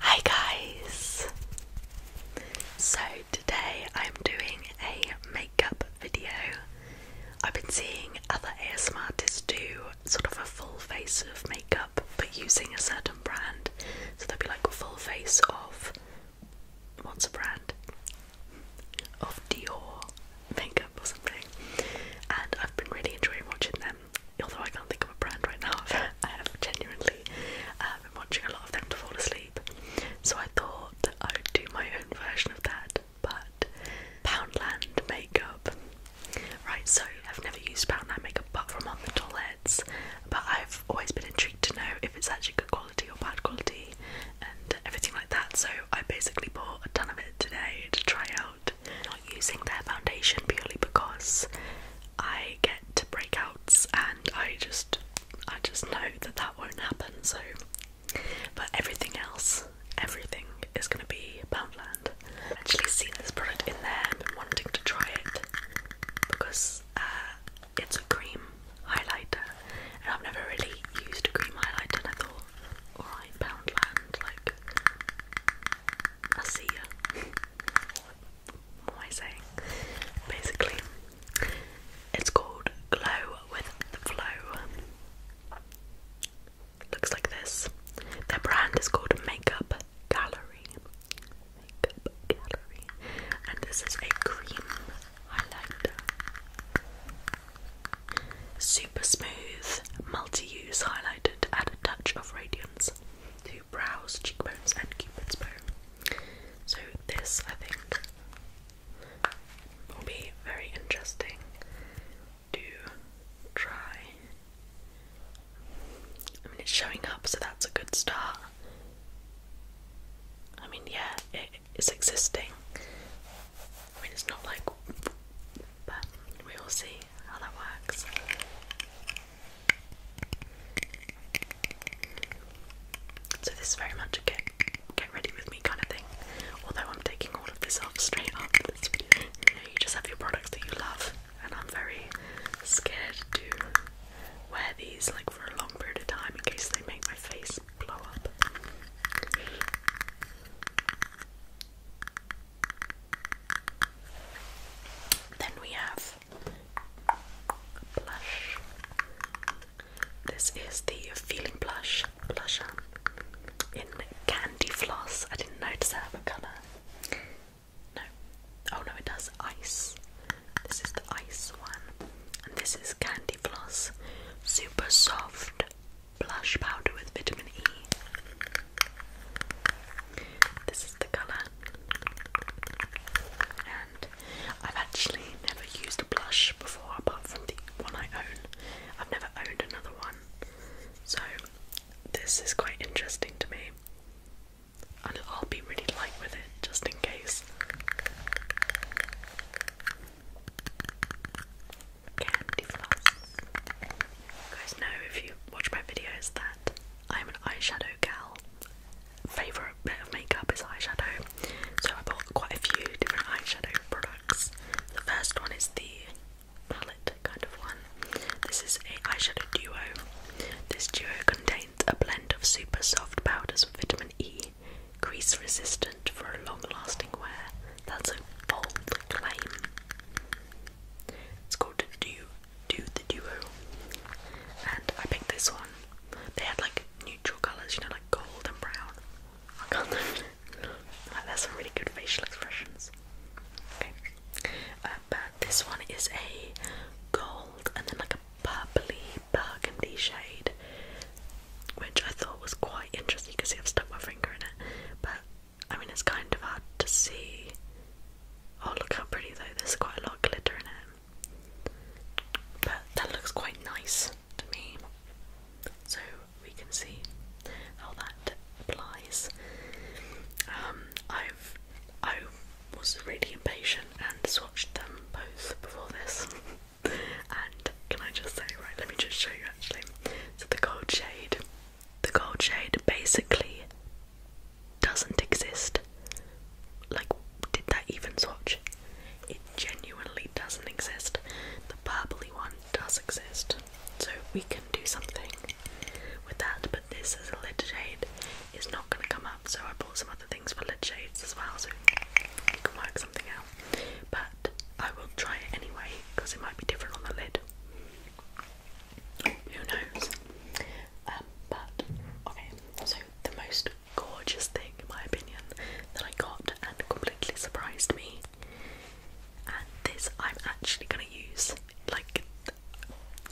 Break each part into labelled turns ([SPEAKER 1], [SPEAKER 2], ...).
[SPEAKER 1] Hi guys! So today I'm doing a makeup video. I've been seeing other ASMR artists do sort of a full face of makeup but using a certain brand. So they'll be like a full face of what's a brand? Of Dior makeup or something. And I've been really enjoying watching them although I can't think of a brand right now, I have genuinely uh, been watching a lot of them to fall asleep. So I thought I would do my own version of that, but Poundland makeup. Right, so I've never used Poundland makeup apart from on the but I've always been intrigued to know if it's actually good quality or bad quality and everything like that. So I basically bought a ton of it today to try out using their foundation purely because I get breakouts and I just I just know that that won't happen so but everything else everything is going to be Poundland. I've actually seen this product in there and been wanting to try it because uh, it's a cream highlighter and I've never really used a cream highlighter and I thought alright Poundland like I see ya what am I saying? Basically, it's called Glow with the Flow. Looks like this. Their brand is called Makeup Gallery. Makeup Gallery. And this is a cream highlighter. Super smooth, multi use highlighted, add a touch of radiance brows, cheekbones, and cupid's bow. So this, I think, will be very interesting to try. I mean, it's showing up, so that's a good start. I mean, yeah, it's existing. I mean, it's not like, but we will see how that works. So this is very much a get get ready with me kind of thing. Although I'm taking all of this off straight after this video. you just have your products that you love, and I'm very scared to wear these like for a long period of time in case they make my face blow up. Then we have blush. This is the Feeling Blush blusher in Candy Floss. I didn't notice that have a colour. No. Oh no, it does ice. This is the ice one. And this is Candy Floss Super Soft Blush Powder with Vitamin E. This is the colour and I've actually never used a blush before, apart from the one I own. I've never owned another one, so this is quite interesting to me. And I'll be really light with it, just in case. Candy floss. You guys know if you watch my videos that I'm an eyeshadow gal. Favourite bit of makeup is eyeshadow, so I bought quite a few different eyeshadow products. The first one is the palette kind of one. This is a eyeshadow duo. This duo contains a blend of super soft powders with vitamin E, crease resistant for a long lasting wear. That's a bold claim. It's called Dew do the duo. And I picked this one. They had like neutral colours, you know, like gold and brown. I can't like that's some really good facial expressions. Okay. Uh, but this one is a gold and then like a purply burgundy shade, which I thought was quite interesting. You can see I've stuck my finger in it, but I mean, it's kind of hard to see. Oh, look how pretty though, there's quite a lot of glitter in it. But that looks quite nice to me. So we can see how that applies. Um, I've I was really impatient and swatched them both before this. and can I just say, right, let me just show you actually. So the gold shade the gold shade basically doesn't exist. Like, did that even swatch? It genuinely doesn't exist. The purpley one does exist. So we can do something with that, but this as a lid shade is not going to come up. So I bought some other things for lid shades as well, so we can work something out. But I will try it anyway because it might be different on the lid. Who knows? Um, but okay, so the most gorgeous thing, in my opinion, that I got and completely surprised me, and this I'm actually gonna use. Like,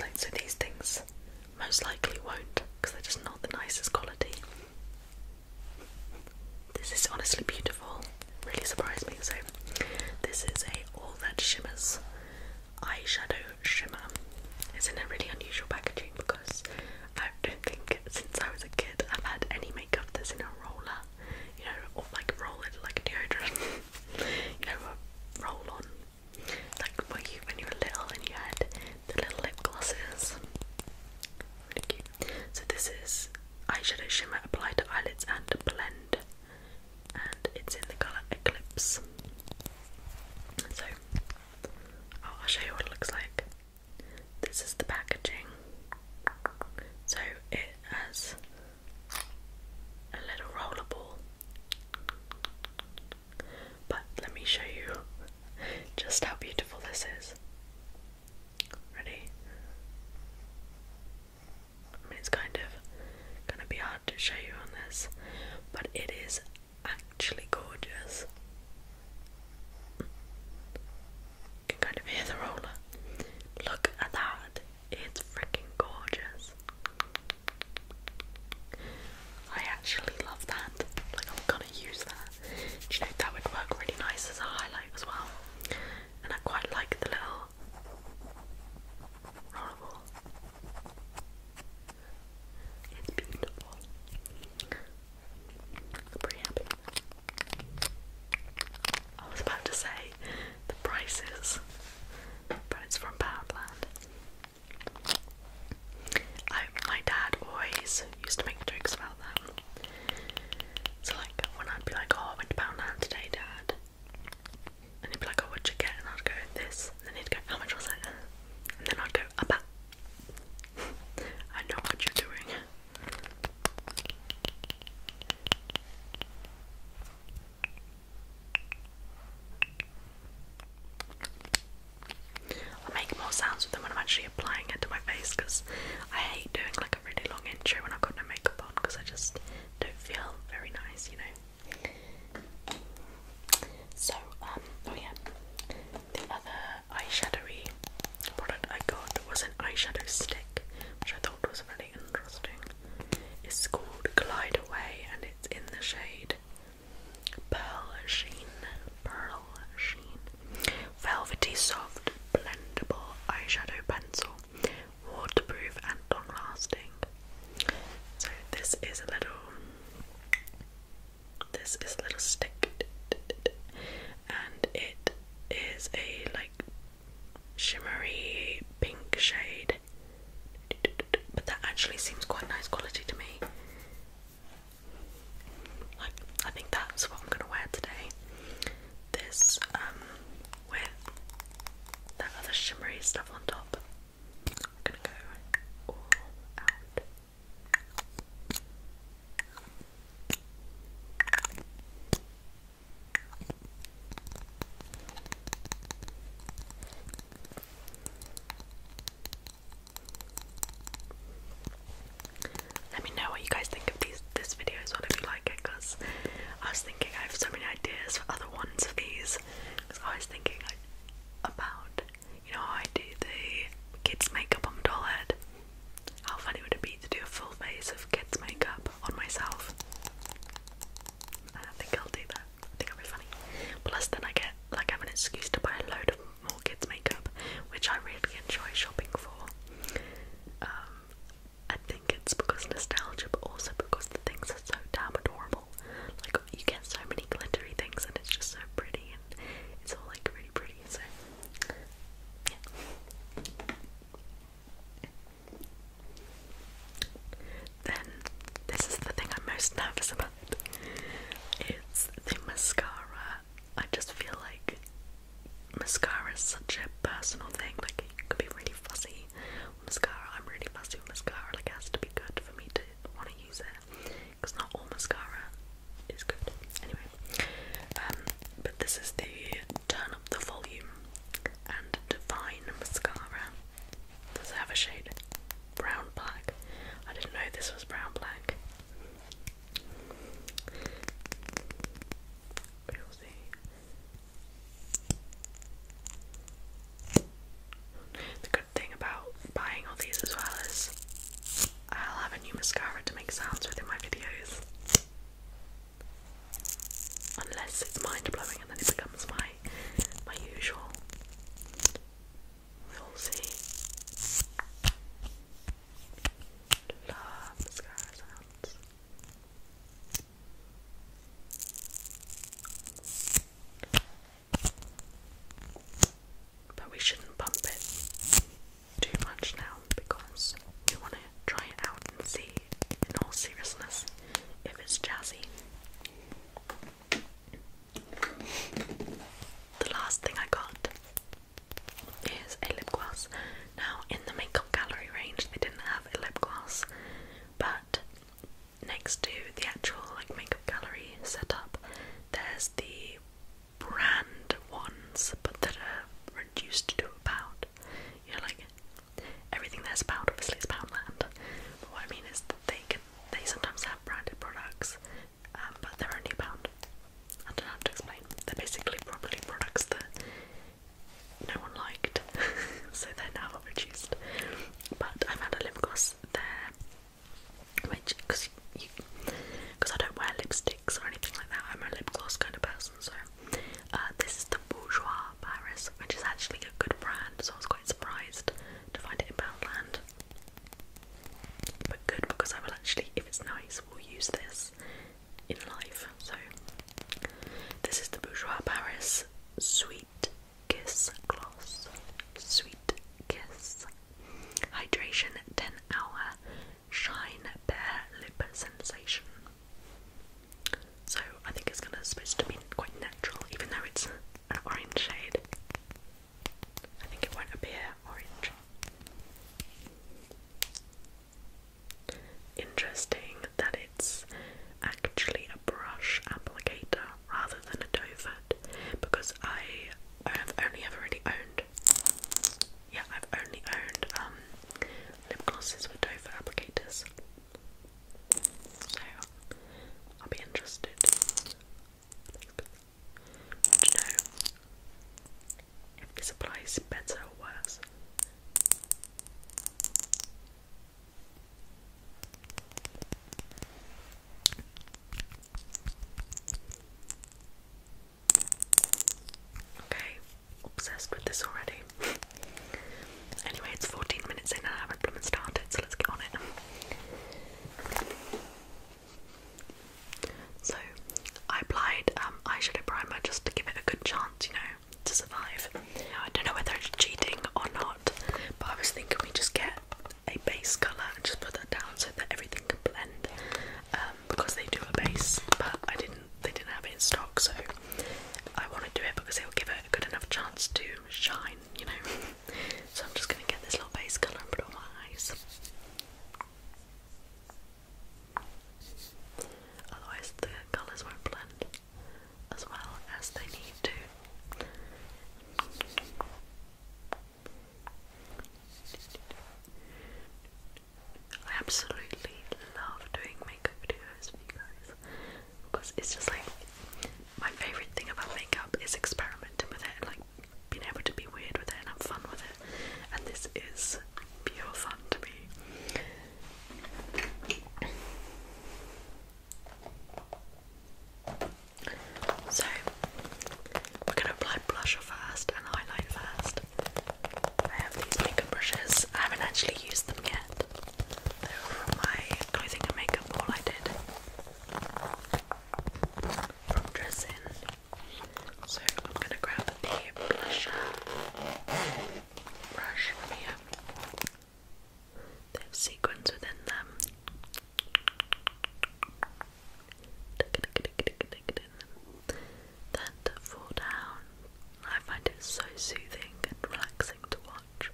[SPEAKER 1] like so these things most likely won't because they're just not the nicest quality. This is honestly beautiful. Really surprised me. So this is a all that shimmers eyeshadow shimmer. It's in a really unusual packaging because I don't think since I was a kid I've had any makeup that's in a roller, you know, or like rolled like a deodorant, you know, a roll on. Like when you when you were little and you had the little lip glosses. Really cute. So this is eyeshadow shimmer applied to eyelids and blend and it's in the colour Eclipse. So, I'll show you what it looks like. This is the packaging. So, it has a little rollerball. But let me show you just how beautiful this is. Ready? it's kind of gonna be hard to show you on this, but it is actually gorgeous. can kind of hear the roller. Look at that, it's freaking gorgeous. I actually love that. Like, I'm gonna use that. Do you know that would work really nice as a highlight as well? And I quite like the little rollerball. It's beautiful. I'm pretty happy. I was about to say the prices, but it's from Poundland. I, my dad always used to make jokes about that. So like when I'd be like, "Oh, went to Poundland today, Dad," And he'd be like, oh, what'd you get? And I'd go, this. then he'd go, how much was it? And then I'd go, a I know what you're doing. i make more sounds with them when I'm actually applying it to my face because I hate doing like a really long intro when I've got no makeup on because I just don't feel very nice, you know. So, um, oh yeah, the other eyeshadowy product I got was an eyeshadow stick, which I thought was really interesting. It's called Glide Away and it's in the shade Pearl Sheen. Pearl Sheen. Velvety Soft Blendable Eyeshadow Pencil waterproof and long lasting. So this is a little this is a little stick and it is a like shimmery pink shade but that actually seems quite nice quality to me. Like I think that's what I'm gonna wear today. This um with that other shimmery stuff on top. Let me know what you guys think of these this video as well if you like it because I was thinking I have so many ideas for other ones of these I was thinking about you know how I do the kids makeup on my doll head. How funny would it be to do a full face of kids makeup on myself? I think I'll do that. I think it'll be funny. Plus, then I get like I have an excuse to buy a load of more kids makeup, which I really enjoy shopping for. Um, I think it's because nostalgia, but also because the things are so damn adorable. Like you get so many glittery things and it's just so pretty and it's all like really pretty, so yeah. Then this is the thing I'm most nervous about. It's the mascara. I just feel like mascara is such a personal thing, like it could be really fussy mascara. I'm really fussy with mascara, like has to be good for me to want to use it because not all mascara is good. Anyway, um, but this is the Turn Up the Volume and Divine Mascara. Does it have a shade? Brown black. I didn't know this was brown black. We'll see. The good thing about buying all these as well is I'll have a new mascara to make sounds within my videos. Unless it's mind blowing and then it becomes my my usual. We'll see. Love mascara sounds. But we shouldn't bump it too much now because we want to try it out and see, in all seriousness, if it's jazzy. The last thing I got is a lip gloss. Now, in the makeup gallery range, they didn't have a lip gloss, but next to the actual like makeup gallery setup, there's the brand ones, but that are reduced to about You know, like everything there's a pound. Obviously, it's Poundland. But what I mean is that they can they sometimes have branded products, um, but they're only a pound. I don't have to explain. They're basically probably products that no one liked, so they're now reduced. But I have had a lip gloss there, which because I don't wear lipsticks or anything like that. I'm a lip gloss kind of person, so uh, this is the Bourgeois Paris, which is actually a good brand. So I was quite surprised to find it in Poundland, but good because I will actually, if it's nice, will use this in life. So this is the Bourgeois Paris Sweet Kiss Gloss. Sweet Kiss. Hydration 10 Hour Shine Bare Lip Sensation. So I think it's gonna supposed to be quite natural, even though it's an orange shade. I think it won't appear orange. Interesting that it's actually a brush applicator rather than a doe foot because I have only ever really owned yeah I've only owned um, lip glosses with doe foot applicators so I'll be interested to know if this applies better or worse Okay, obsessed with this already. anyway, it's 14 minutes in and I haven't blooming started, so let's get on it. So, I applied um, eyeshadow primer just to give it a good chance, you know, to survive. I don't know whether it's cheating or not, but I was thinking we just get a base colour and just put that down so that everything can blend. Um, because they do a base, but I didn't they didn't have it in stock, so I want to do it because it will give it a good enough chance to shine, you know. so I'm just gonna get this little base colour and put it on my eyes. Otherwise the colours won't blend as well as they need to. I absolutely love doing makeup videos for you guys because it's just like my favourite thing about makeup is experimenting with it and like being able to be weird with it and have fun with it and this is pure fun to me. So we're gonna apply blusher first and highlight first. I have these makeup brushes. I haven't actually used them yet. They were from my clothing and makeup haul I did from dressing. So I'm gonna grab the blusher brush from here. They have sequins within them. Then to fall down. I find it so soothing and relaxing to watch.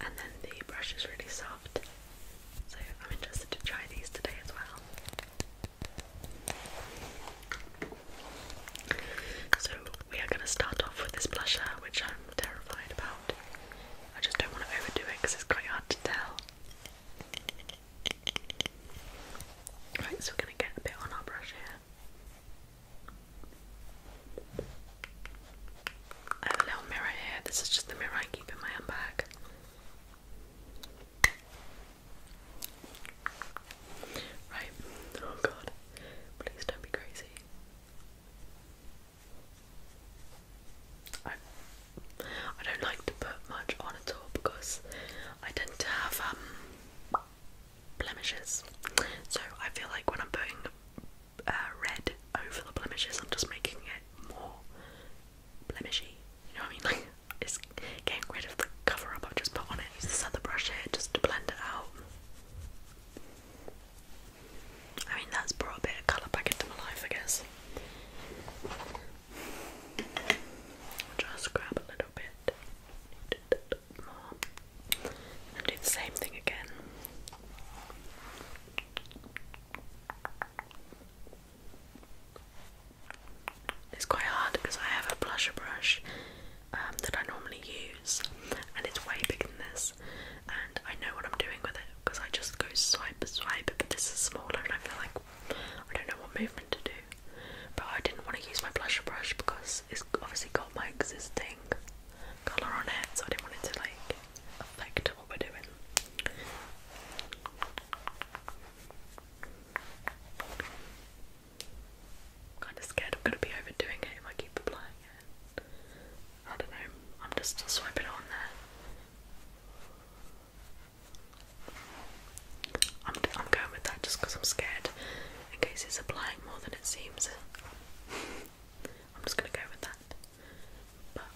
[SPEAKER 1] And then the brush is really soft. So I'm interested to try these today as well. So we are going to start off with this blusher, which I'm terrified about. I just don't want to overdo it because it's quite hard to tell. Right, so we're going to get a bit on our brush here. I have a little mirror here. This is just the mirror I keep in my handbag. Right. Oh god. Please don't be crazy. I I don't like to put much on at all because I tend not have um blemishes. So I feel like when I'm putting uh, red over the blemishes, I'm just making it more blemishy. You know what I mean? Like it's getting rid of the cover up I've just put on it use this other brush here just to blend it out. I mean, that's brought a bit of colour back into my life, I guess. just grab a little bit, and do the same thing again. It's quite hard because I have a blusher brush um, that I normally use, and it's way bigger than this. And I know what I'm doing with it because I just go swipe, swipe. But this is smaller, and I feel like I don't know what movement to do. But I didn't want to use my blusher brush because it's obviously got my existing colour on it, so I didn't want it to like affect what we're doing. I'm kinda scared I'm gonna be overdoing it if I keep applying it. I don't know, I'm just still swiping it on there. I'm, going with that just because I'm scared in case it's applying more than it seems. I'm just gonna go with that. But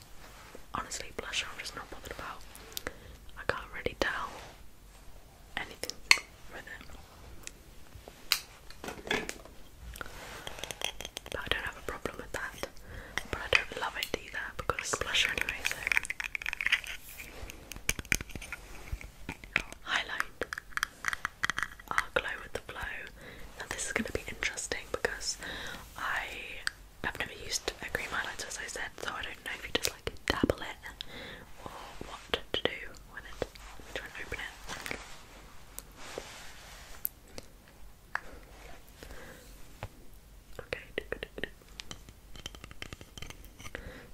[SPEAKER 1] honestly, blusher I'm just not bothered about. I can't really tell anything with it. But I don't have a problem with that. But I don't love it either because it's blusher anyway, so. Highlight. i glow with the blow. Now, this is going to be interesting because I have never used a cream highlighter, as I said, so I don't know if you just like dabble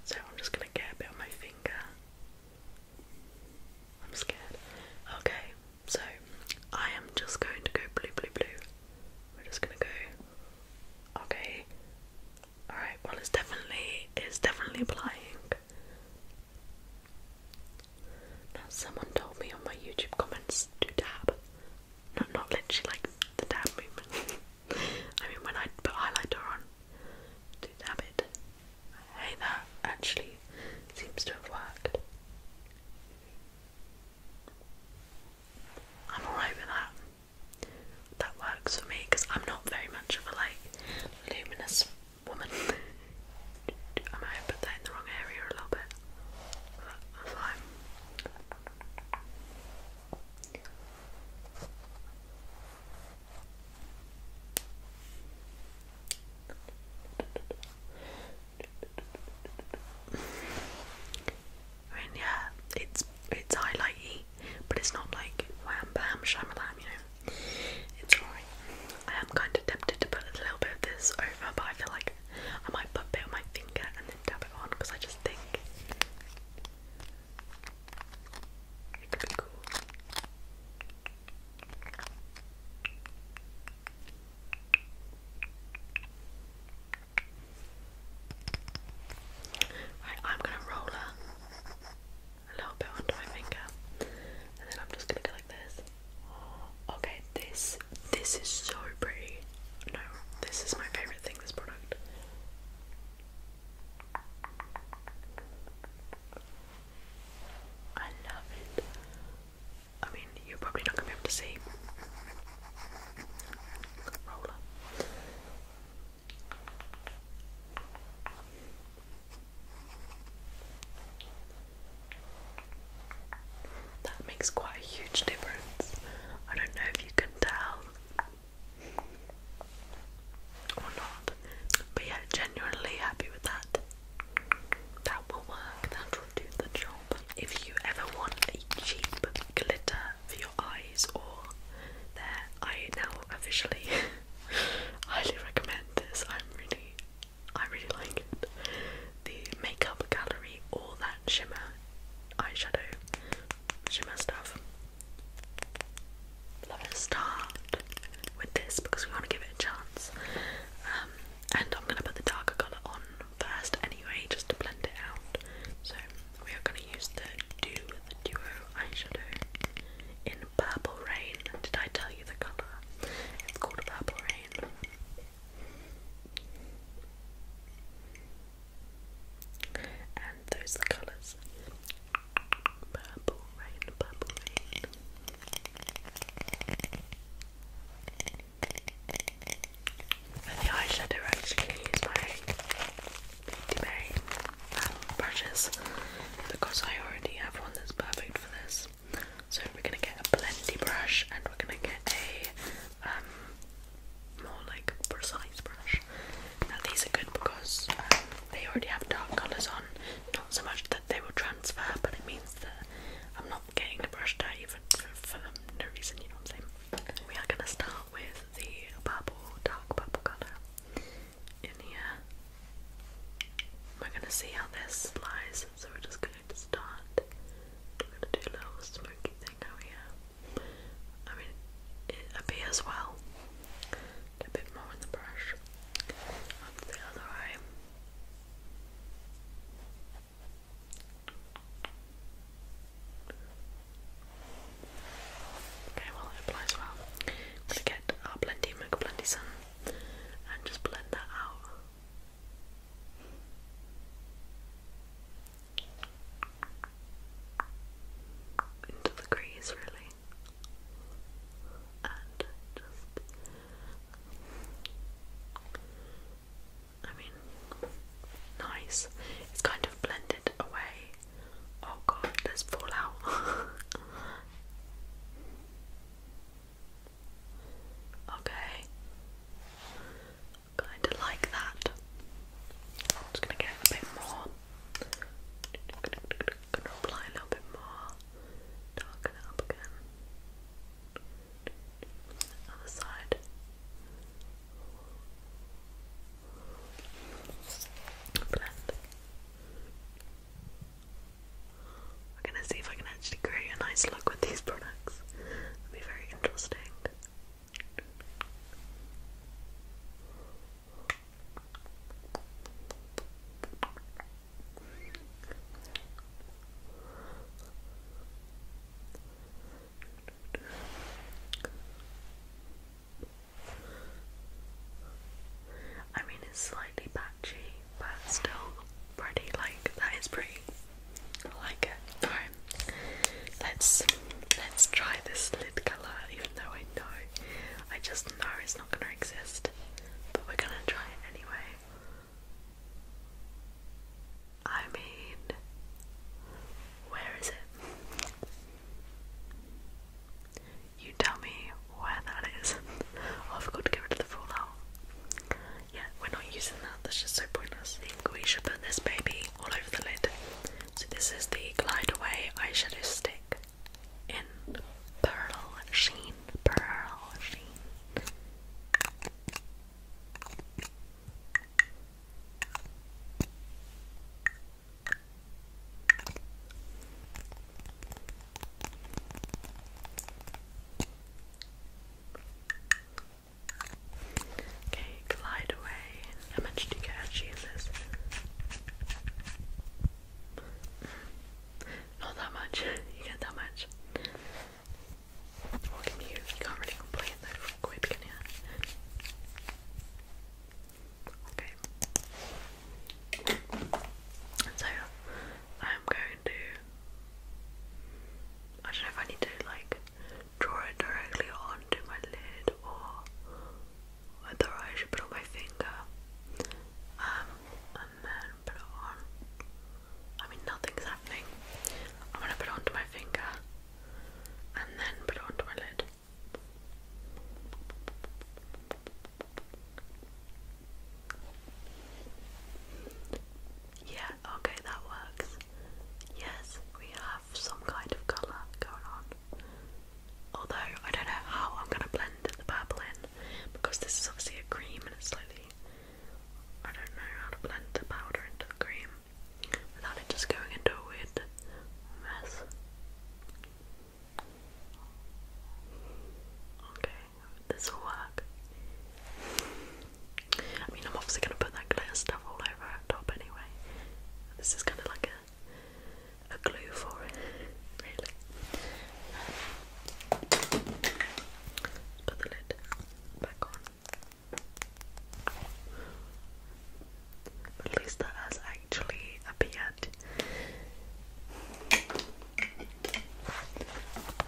[SPEAKER 1] so I'm just gonna get a bit on my finger. I'm scared. Okay, so I am just going to go blue, blue, blue. We're just gonna go. Okay, Alright, well it's definitely it's definitely applying. someone told me on my YouTube comments to dab. Not not literally like the dab movement. I mean when I put highlighter on to dab it. Hey that actually seems to have worked. I'm alright with that that works for me because I'm not very much of a like luminous woman. I put that in the wrong area a little bit. that's uh, fine. I yeah, it's it's highlighty, but it's not like wham bam shamalam, you know. It's alright. I am kind of tempted to put a little bit of this over, but I feel like I might put a bit on my finger and then dab it on because I just think it could be cool. Right, I'm gonna roller a little bit onto my finger, and then I'm just gonna go like this. Okay, this this is so pretty. No, this is my favorite thing. This product. I love it. I mean, you're probably not gonna be able to see. Roller. That makes quite a huge difference. I don't know if you can tell or not, but yeah, genuinely happy with that. That will work, that will do the job. If you ever want a cheap glitter for your eyes or there. I now officially highly recommend this. I'm really, I really like it. The makeup gallery, all that shimmer, eyeshadow, shimmer stuff. Let's start with this because we want to give it a chance. Um, and I'm gonna put the darker colour on first anyway, just to blend it out. So we are gonna going to use the Do the Duo eyeshadow in Purple Rain. Did I tell you the colour? It's called Purple Rain. And those colours. Purple Rain, Purple Rain. the eyeshadow, I actually use my Bay um, brushes because I already have one that's perfect for this. So we're gonna get a plenty brush and we're gonna get a um, more like precise brush. Now these are good because um, they already have dark colours on. Not so much that they will transfer, but it means that I'm not getting the brush dirty for, for, for no reason. You know what I'm saying? We are gonna start with the purple, dark purple colour in here. We're gonna see how this lies, so we're just going to start. We're gonna do a little smoky thing here. I mean, it appears well. a bit more in the brush. the other eye. Okay, well it applies well. i get our blendy Mocha Blendy Sun and just blend that out. Into the crease really. And just I mean nice. It's kind of blended away Oh god, there's fallout. okay. Kinda like that. just gonna get a bit more. Gonna apply a little bit more. Darken up again. Other side. Blending. We're gonna see if I can actually create a nice look with these products. It'll be very interesting. I mean, it's slightly patchy, but still pretty. Like that is pretty. I like it. Alright, let's let's try this lid color. Even though I know, I just know it's not gonna exist, but we're gonna try it anyway. I mean, where is it? You tell me where that is. I forgot to get rid of the fallout. Yeah, we're not using that, that's just so pointless. I think we should put this baby all over the lid. So, this is the Glide Away eyeshadow stick in Pearl Sheen. Pearl Sheen. Okay, glide away. How much do you get actually in this? Not that much. You get that much. What can you? You can't really complain though for you? Okay. So I'm going to I don't know if I need to like draw it directly onto my lid or whether I should put on my finger. Um and then put it on. I mean nothing's happening. I'm gonna put it onto my finger and then put it onto my lid. Yeah, okay, that works. Yes, we have some kind of colour going on. Although, I don't know how I'm going to blend the purple in because this is obviously a cream and it's slightly. I don't know how to blend the powder into the cream without it just going into a weird mess. Okay, this will work. I mean, I'm obviously going to put that glitter stuff all over top anyway. This is kind of like a, a glue for it, really. put the lid back on. At least that has actually appeared.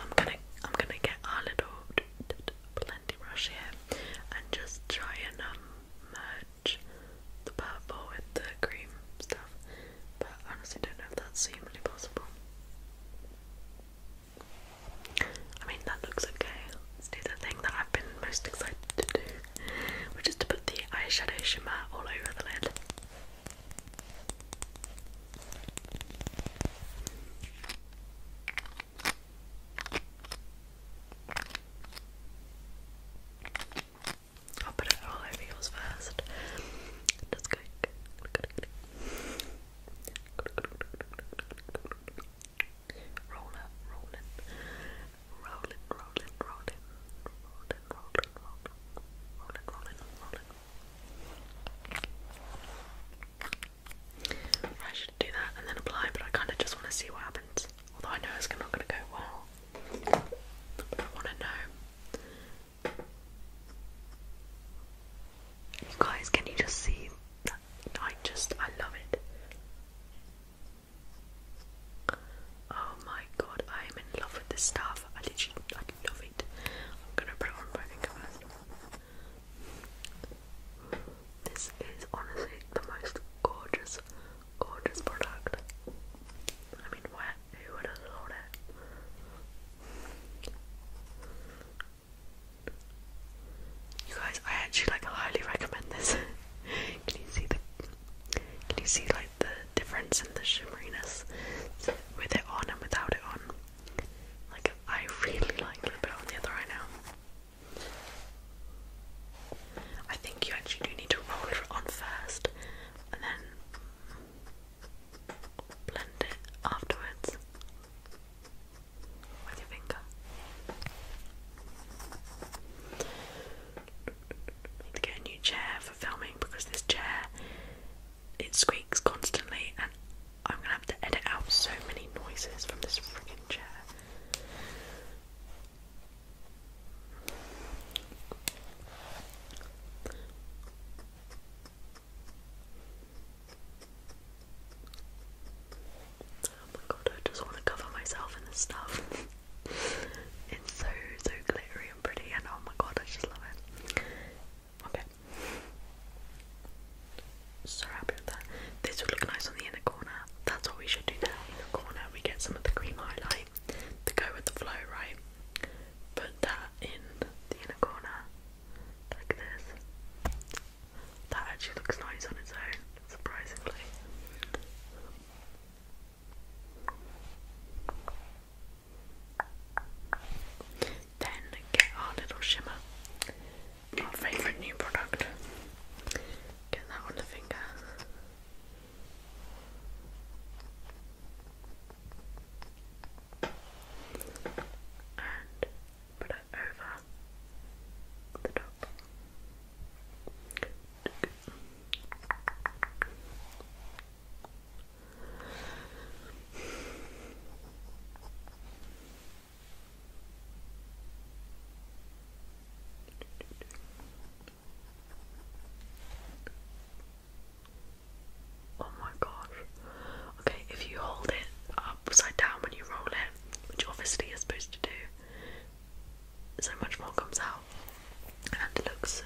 [SPEAKER 1] I'm gonna I'm gonna get our little plenty brush here and just try and um, merge the purple with the cream stuff. But honestly don't know if that's humanly possible. I mean that looks okay let's do the thing that I've been most excited to do, which is to put the eyeshadow shimmer all over the lid. I'll put it all over yours first. Just go rolling, rolling, rolling, rolling, rolling, rolling, rolling, rolling, rolling. I should do that and then apply, but I kind of just want to see what happens. Although I know it's not going to go well, but I want to know. You guys, can you just see I just, I love it. Oh my god, I am in love with this stuff. I literally I love it. I'm gonna put on my finger This is honestly the most gorgeous, gorgeous product. I mean what who would have thought it? You guys, I actually like highly recommend this. Can you see the can you see like the difference in the shimmeriness with it on and without it on? Like I really like the bit on the other eye now. I think you actually do need to roll it on first and then blend it afterwards with your finger. I need to get a new chair for filming because this chair it squeaks constantly and I'm gonna have to edit out so many noises from this frigging chair. Oh my god, I just want to cover myself in this stuff. it's so, so glittery and pretty, and oh my god, I just love it. Okay. So happy with that. This would look nice on the inner corner. That's what we should do now. Inner corner, we get some of the cream highlight to go with the flow, right? Put that in the inner corner, like this. That actually looks nice on its own, surprisingly. Then get our little shimmer, our favourite new product. Get that on the finger. And put it over the top. Oh my gosh. Okay, if you hold it upside down when you roll it, which obviously you're supposed to do, so much more comes out and it looks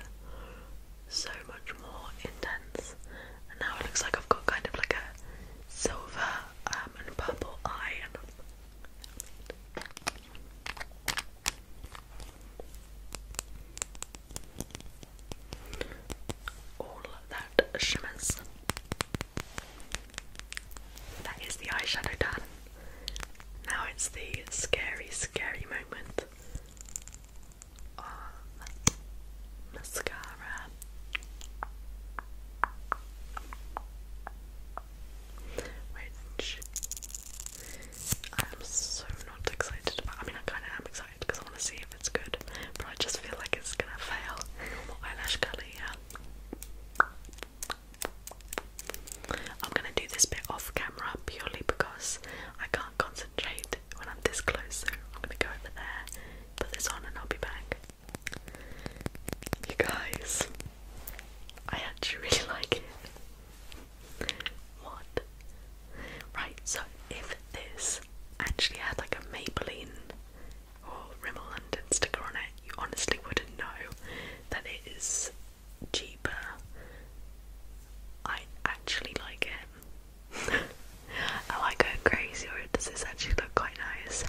[SPEAKER 1] so much more intense and now it looks like I've got kind of like a silver um, and purple eye and all that shimmers that is the eyeshadow done. Now it's the scary, scary moment of mascara. Which I am so not excited about. I mean, I kind of am excited because I want to see if it's good, but I just feel like it's gonna fail. Eyelash curly, I'm gonna do this bit off camera purely because I can't concentrate when I'm this close, so I'm gonna go over there, put this on, and I'll be back. You guys, I actually really like it. What? Right, so if this actually had like a Maybelline or Rimmel London sticker on it, you honestly wouldn't know that it is cheaper. I actually like it. Am oh, I going crazy this actually look quite nice?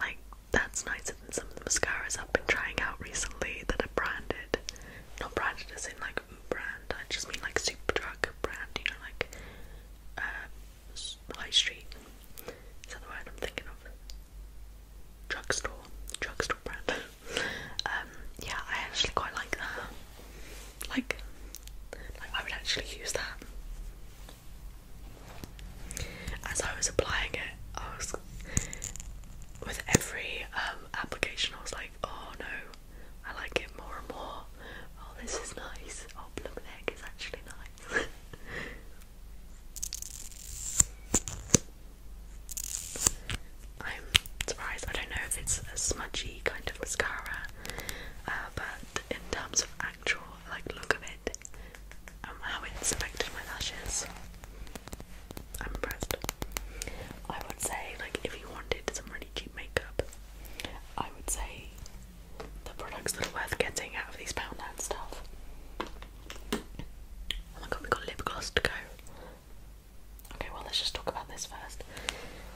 [SPEAKER 1] Like, that's nicer than some of the mascaras I've been trying out recently that are branded. Not branded as in like brand, I just mean like super drug brand, you know, like uh, high street. Is that the word I'm thinking of? Drugstore, drugstore brand. Um, yeah, I actually quite like that. Like, like I would actually use that. As I was applying it, I was with every um, application. I was like, oh no, I like it more and more. Oh, this is nice. Oh, blooming egg is actually nice. I'm surprised. I don't know if it's a smudgy kind of mascara, uh, but in terms of actual like look of it, um, how it's affected my lashes, I'm impressed. I would say like if you wanted some really cheap makeup, I would say the products that are worth getting out of these Poundland stuff. Oh my god, we got lip gloss to go. Okay, well, let's just talk about this first.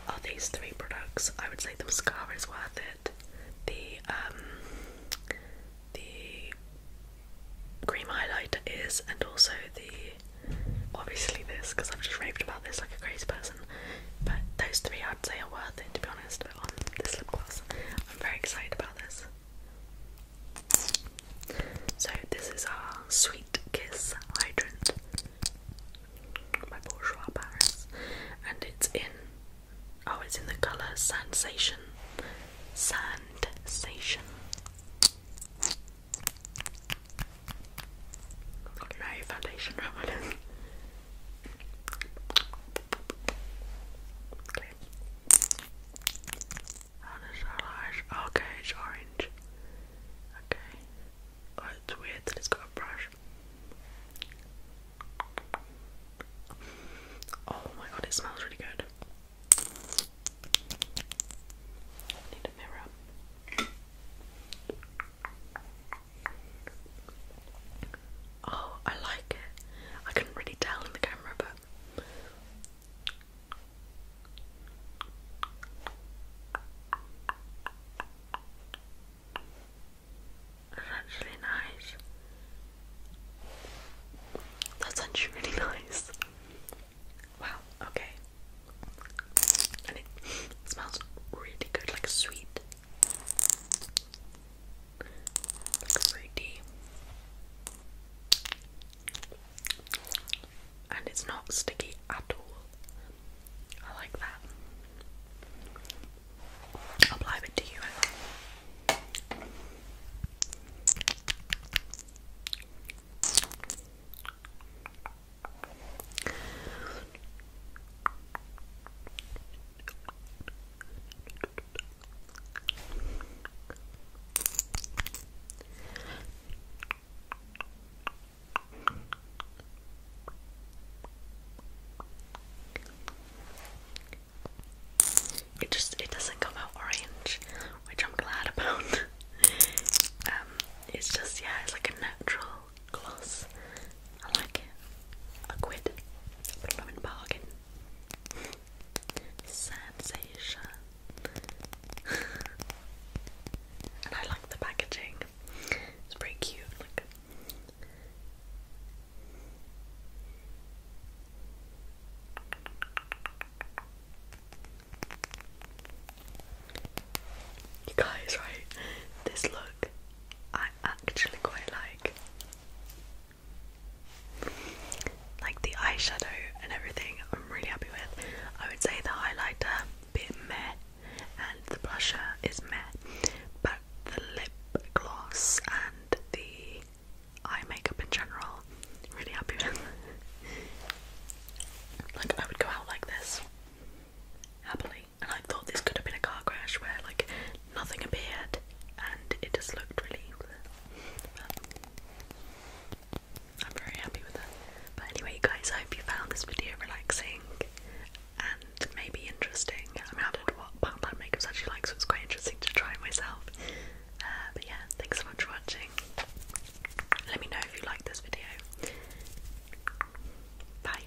[SPEAKER 1] Are these three products? I would say the mascara is worth it. The um, the cream highlighter is, and also the obviously this because I've just raved about this like a crazy person. But those three I'd say are worth it to be honest on this lip gloss. I'm very excited about this. So this is our Sweet Kiss Hydrant by Bourjois Paris, and it's in oh, it's in the color Sensation, Sensation. foundation on Okay. That is our Okay, it's orange. Okay. Oh, it's weird that it's got a brush. Oh my god, it smells really good. need a mirror. Oh, I like it. I couldn't really tell in the camera, but that's actually nice. That's actually really nice. Wow, okay. And it smells really good, like sweet like And it's not sticky at all. I like that. apply it to you. It just it doesn't come out orange, which I'm glad about. um, it's just yeah, it's like a natural gloss I like it. A quid. A blooming bargain. Sensation. and I like the packaging. It's pretty cute. Look. You guys, right? This look I actually quite like. Like the eyeshadow and everything, I'm really happy with. I would say the highlighter, bit meh, and the blusher is meh, but the lip gloss and the eye makeup in general, really happy with. like, I would go out like this, happily and I thought this could have been a car crash where like nothing appeared and it just looked really but I'm very happy with that. But anyway guys, I hope you found this video relaxing and maybe interesting. I mean I don't know what part that makeup's actually like so it's quite interesting to try it myself. Uh, but yeah, thanks so much for watching. Let me know if you like this video. Bye.